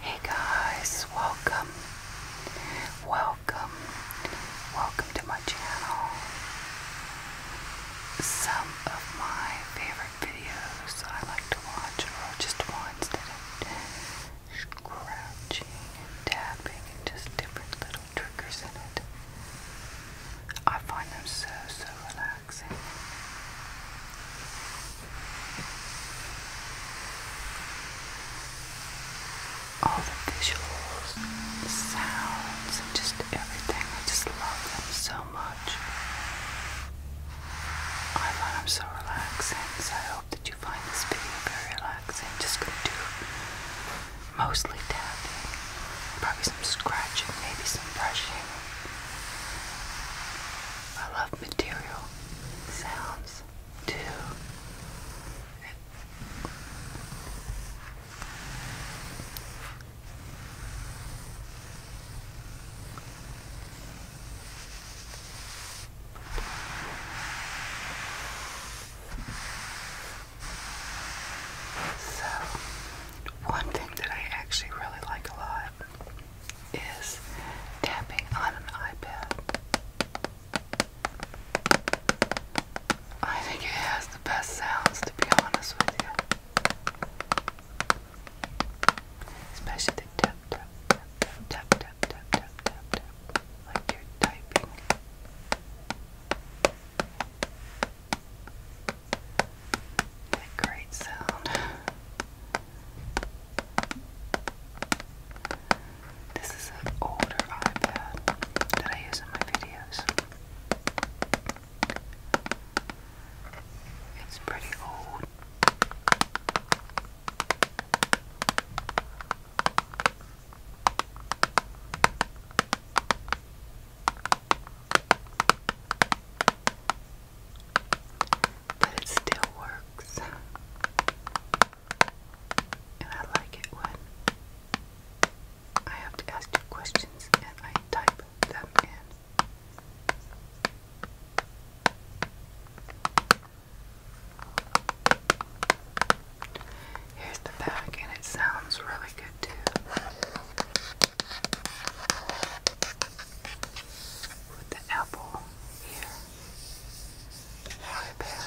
Hey guys, welcome, welcome, welcome to my channel. Some of my favorite videos I like to watch are just ones that are scratching tapping and just different little triggers in it. I find them so, so relaxing. All the visuals, sounds, and just everything. I just love them so much. I find them so relaxing, I hope that you find this video very relaxing. Just go do mostly tapping, probably some scratching, maybe some brushing. I love material sounds too. So, one thing that I actually really like a lot is tapping on an iPad. I think it has the best sounds, to be honest with you. Especially the tap, tap, tap, tap, tap, tap, tap, tap, tap, tap, like you're typing. That great sound. This is an older iPad that I use in my videos. It's pretty old. But it still works. And I like it when I have to ask you questions and I type them in. Here's the back, and it sounds really good too. With the apple here. Right there.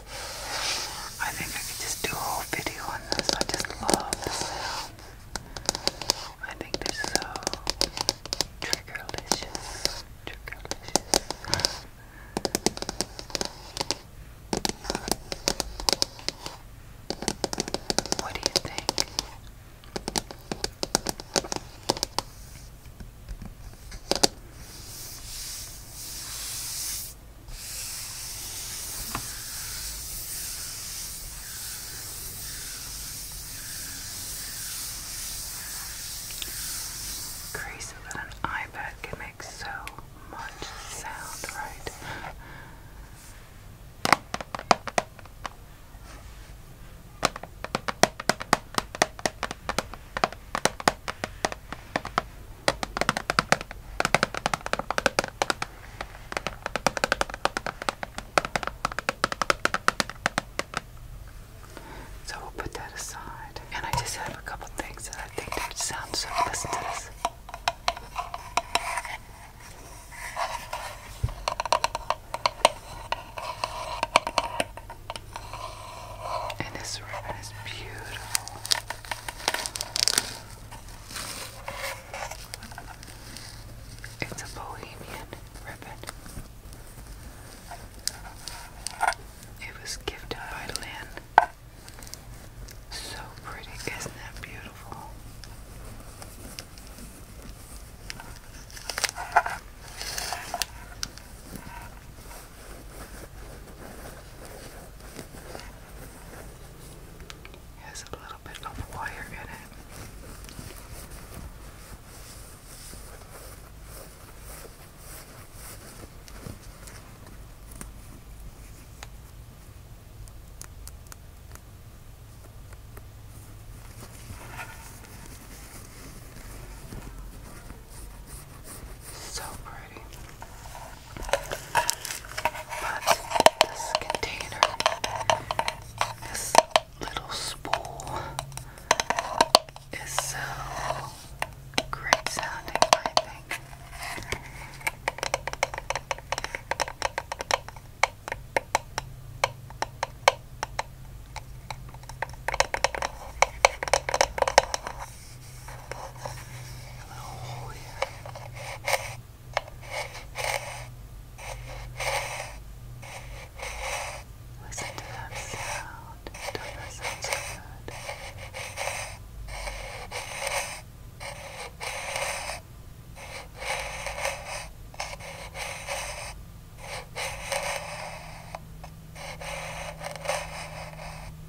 I think I could just do a whole video on this. I just love the sounds. I think they're so triggerlicious. Triggerlicious. What do you think? Crazy that an iPad can make so much sound, right? So we'll put that aside. And I just have a couple things that I think that sound so listen to this. And this ribbon is beautiful. It's a bohemian ribbon. It was gifted by Lynn. So pretty, isn't that beautiful? Has a little bit of wire in it. So pretty. But this container, this little spool, is so great sounding, I think. Hello. Listen to that sound. Don't that sound so good? Good.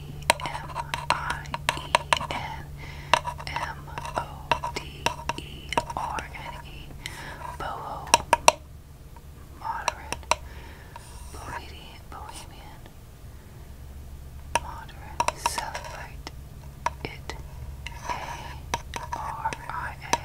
M I E N M O D E R N E Boho Moderate Bohemian Bohemian Moderate Celebrate It A R I A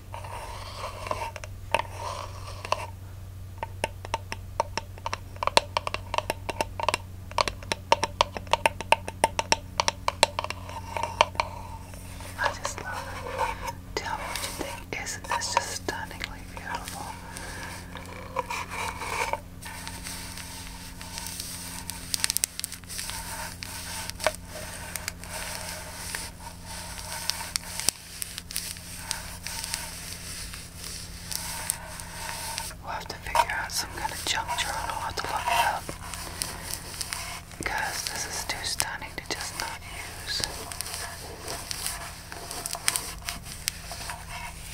I just love it. Tell me what you think. Isn't this just stunningly beautiful? We'll have to figure out some kind of junk journal. i to look it up. Because this is too stunning to just not use.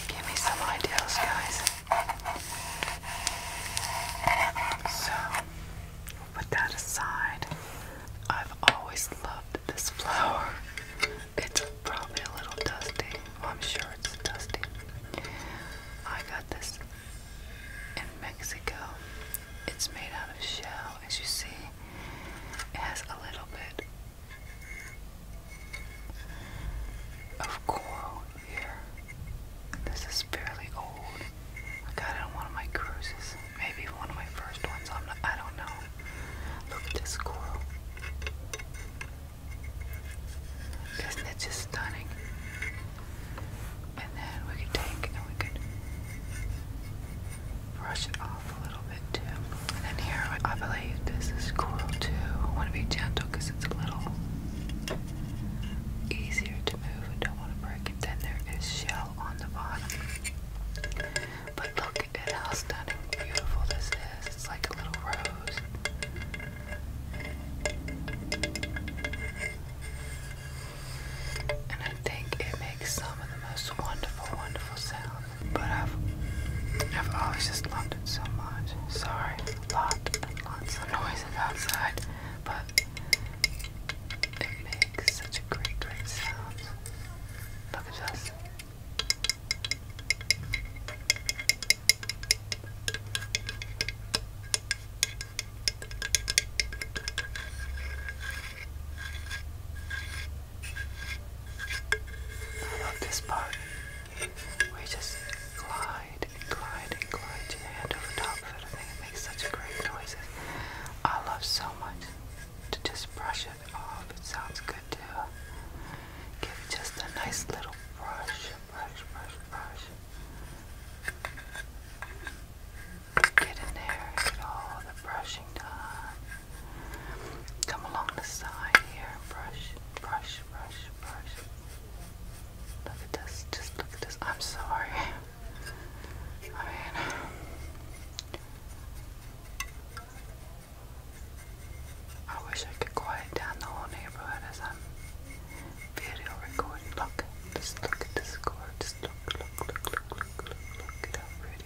Give me some ideas, guys. So, put that aside. I've always loved this flower. It's probably a little dusty. I'm sure it's dusty. I got this in Mexico. It's made out of shell, as you see. It has a little bit of coral here. This is fairly old. I got it on one of my cruises. Maybe one of my first ones. i don't know. Look at this squirrel. Isn't it just stunning? And then we could take and we could brush it off a little bit too. And here, I believe this is coral too. I want to be gentle because it's a little easier to move. don't want to break it. Then there is shell. But look at how stunning beautiful this is. It's like a little rose. And I think it makes some of the most wonderful, wonderful sounds. But I've I've always just loved it so much. Sorry, lot and lots of noises outside. But it makes such a great, great sound. Look at I love this part. We just glide and glide and glide hand over top of it make such great noises. I love so much to just brush it off. It sounds good too. Give it just a nice little brush, brush, brush, brush. Get in there, get all the brushing done. Come along the side here, brush, brush, brush, brush. Look at this, just look at this. I'm sorry. I mean, I wish I could quiet down the whole neighborhood as I'm video recording. Look, just look at this car. Just look, look, look, look, look, look, look at how pretty.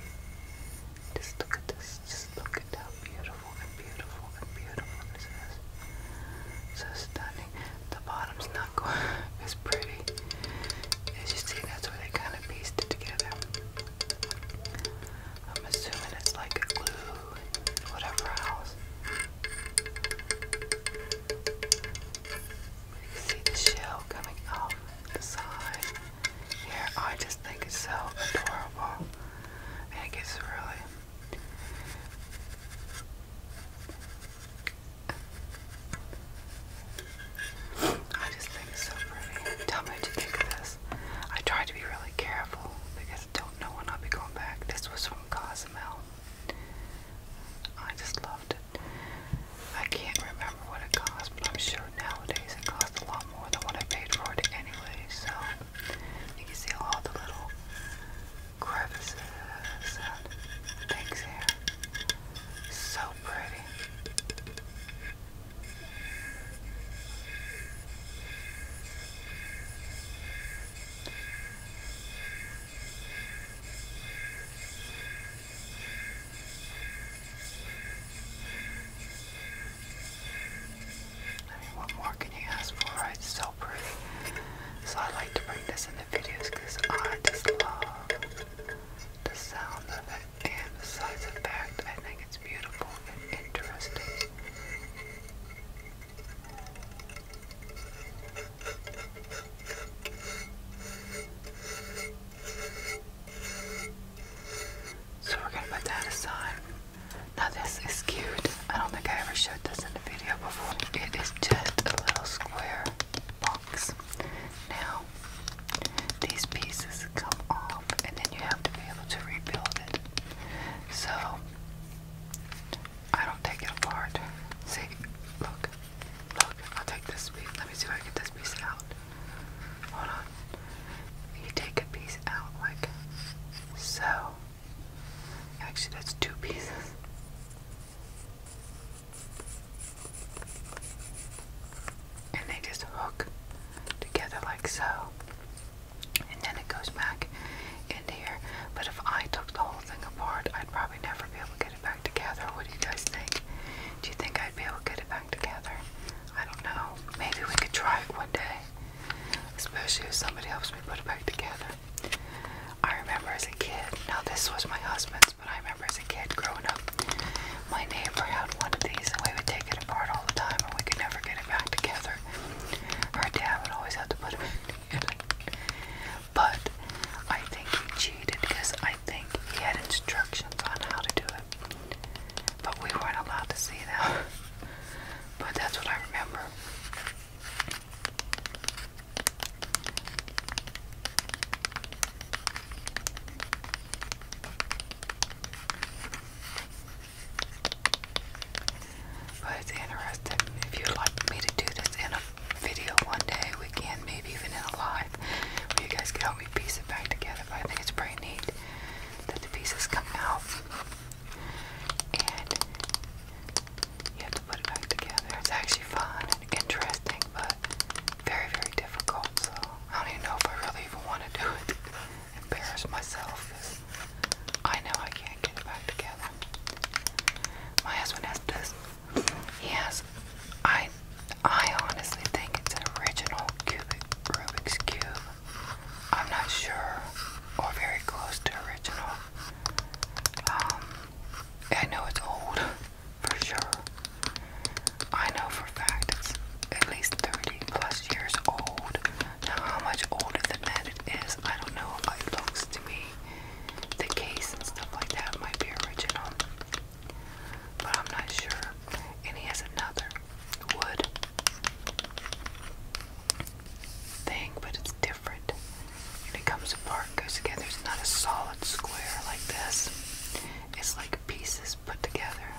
Just look at this. Just look at how beautiful and beautiful and beautiful this is. So stunning. The bottom bottom's pretty. As you see, that's where they kind of pieced it together. I'm assuming it's like glue and whatever else. You see the shell coming off the side here. I just think it's so adorable. I think really I just so pretty. Tell me what you this. I tried to be really careful because I don't know when I'll be going back. This was from Cozumel. I just loved it. I can't remember what it cost, but I'm sure nowadays it costs a lot more than what I paid for it anyway. So you can see all the little crevices and things here. So I mean, what more can you ask for, right? It's so pretty. So I like to bring this in the videos because I just love the sound of it, and besides the fact, I think it's beautiful and interesting. So we're gonna put that aside. Now this is cute. I don't think I ever showed this in a video before. It is just a little square box. Now, these pieces come off, and then you have to be able to rebuild it. So, I don't take it apart. See, look, look, I'll take this piece. Let me see if I can get this piece out. Hold on. You take a piece out like so. Actually, that's two pieces and they just hook together like so and then it goes back in here but if I took the whole thing apart I'd probably never be able to get it back together what do you guys think do you think I'd be able to get it back together I don't know maybe we could try it one day especially if somebody helps me put it back together I remember as a kid now this was my husband that's what I remember as a kid growing up. My neighbor had one of these and we would take it apart all the time and we could never get it back together. Her dad would always have to put it back together. But I think he cheated because I think he had instructions on how to do it. But we weren't allowed to see that. but that's what I remember. But it's interesting. If you'd like me to do this in a video one day, we can, maybe even in a live, where you guys can help me piece it back together. I think it's pretty neat that the pieces come out and you have to put it back together. It's actually fun and interesting, but very, very difficult. So I don't even know if I really even want to do it. Embarrass myself. I know I can't get it back together. My husband has this. He has. I. I honestly think it's an original cubic Rubik's cube. I'm not sure, or very close to original. Um, I know it's old for sure. I know for a fact it's at least 30 plus years old. Now, how much older than that it is, I don't know. It looks to me the case and stuff like that might be original, but I'm not sure. And he has another wood thing, but it's different. And it comes apart part goes together. It's not a solid square like this. It's like pieces put together.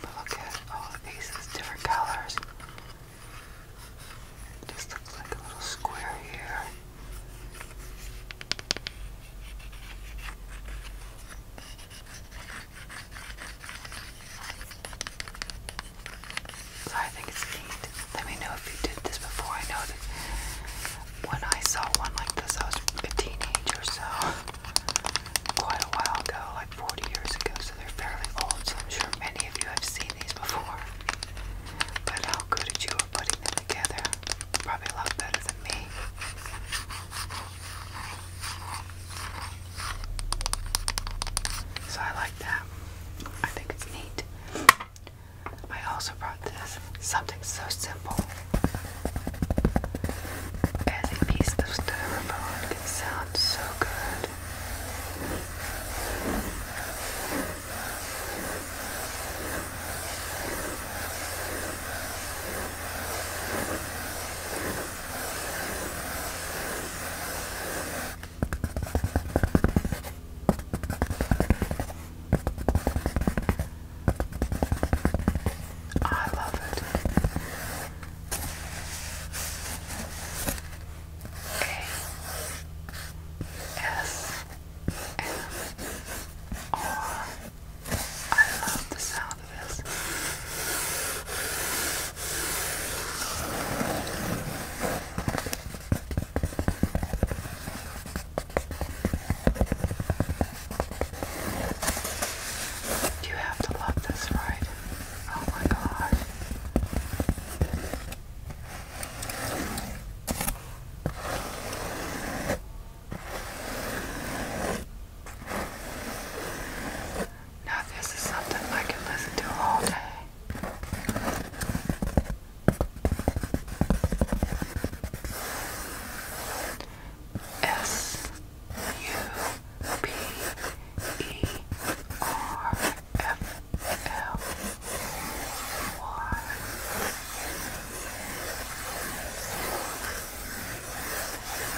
But look at all the pieces, different colors. It looks like a little square here. I think it's neat. Let me know if you did this before. I know that when I saw one like this, I was a teenager, so quite a while ago, like 40 years ago, so they're fairly old, so I'm sure many of you have seen these before. But how good at you are putting them together. Probably a lot better than me. So I like that. I think it's neat. I also brought this something so simple as a piece of styrofoam can sound so good. I love it. A S M R I love the sound of this. You have to love this, right? Oh my god. Now, this is something I can listen to all day. S U P E R F L Y.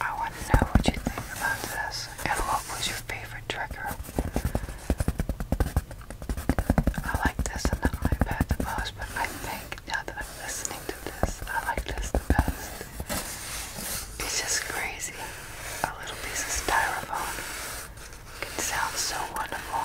I want to know what you think about this and what was your favorite trigger. I like this in the iPad the most, but I think now that I'm listening to this, I like this the best. It's just crazy. A little piece of styrofoam can sound so wonderful.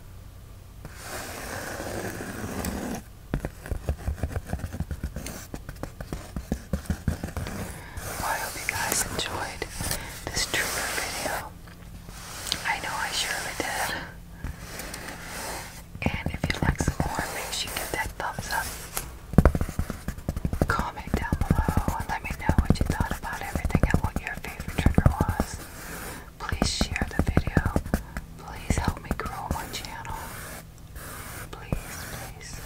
I hope you guys enjoyed this trigger video. I know I surely did. And if you'd like some more, make sure you give that thumbs up. Comment down below and let me know what you thought about everything and what your favorite trigger was. Please share the video. Please help me grow my channel. Please, please.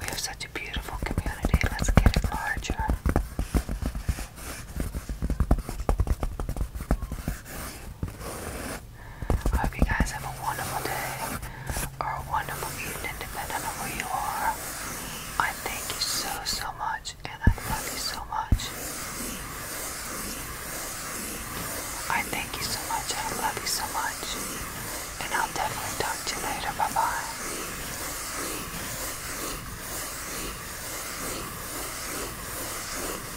We have such a beautiful community. Let's get it larger. I hope you guys have a wonderful day or a wonderful evening, depending on where you are. I thank you so, so much, and I love you so much. I thank you so much, and I love you so much. And I'll definitely talk to you later. Bye bye.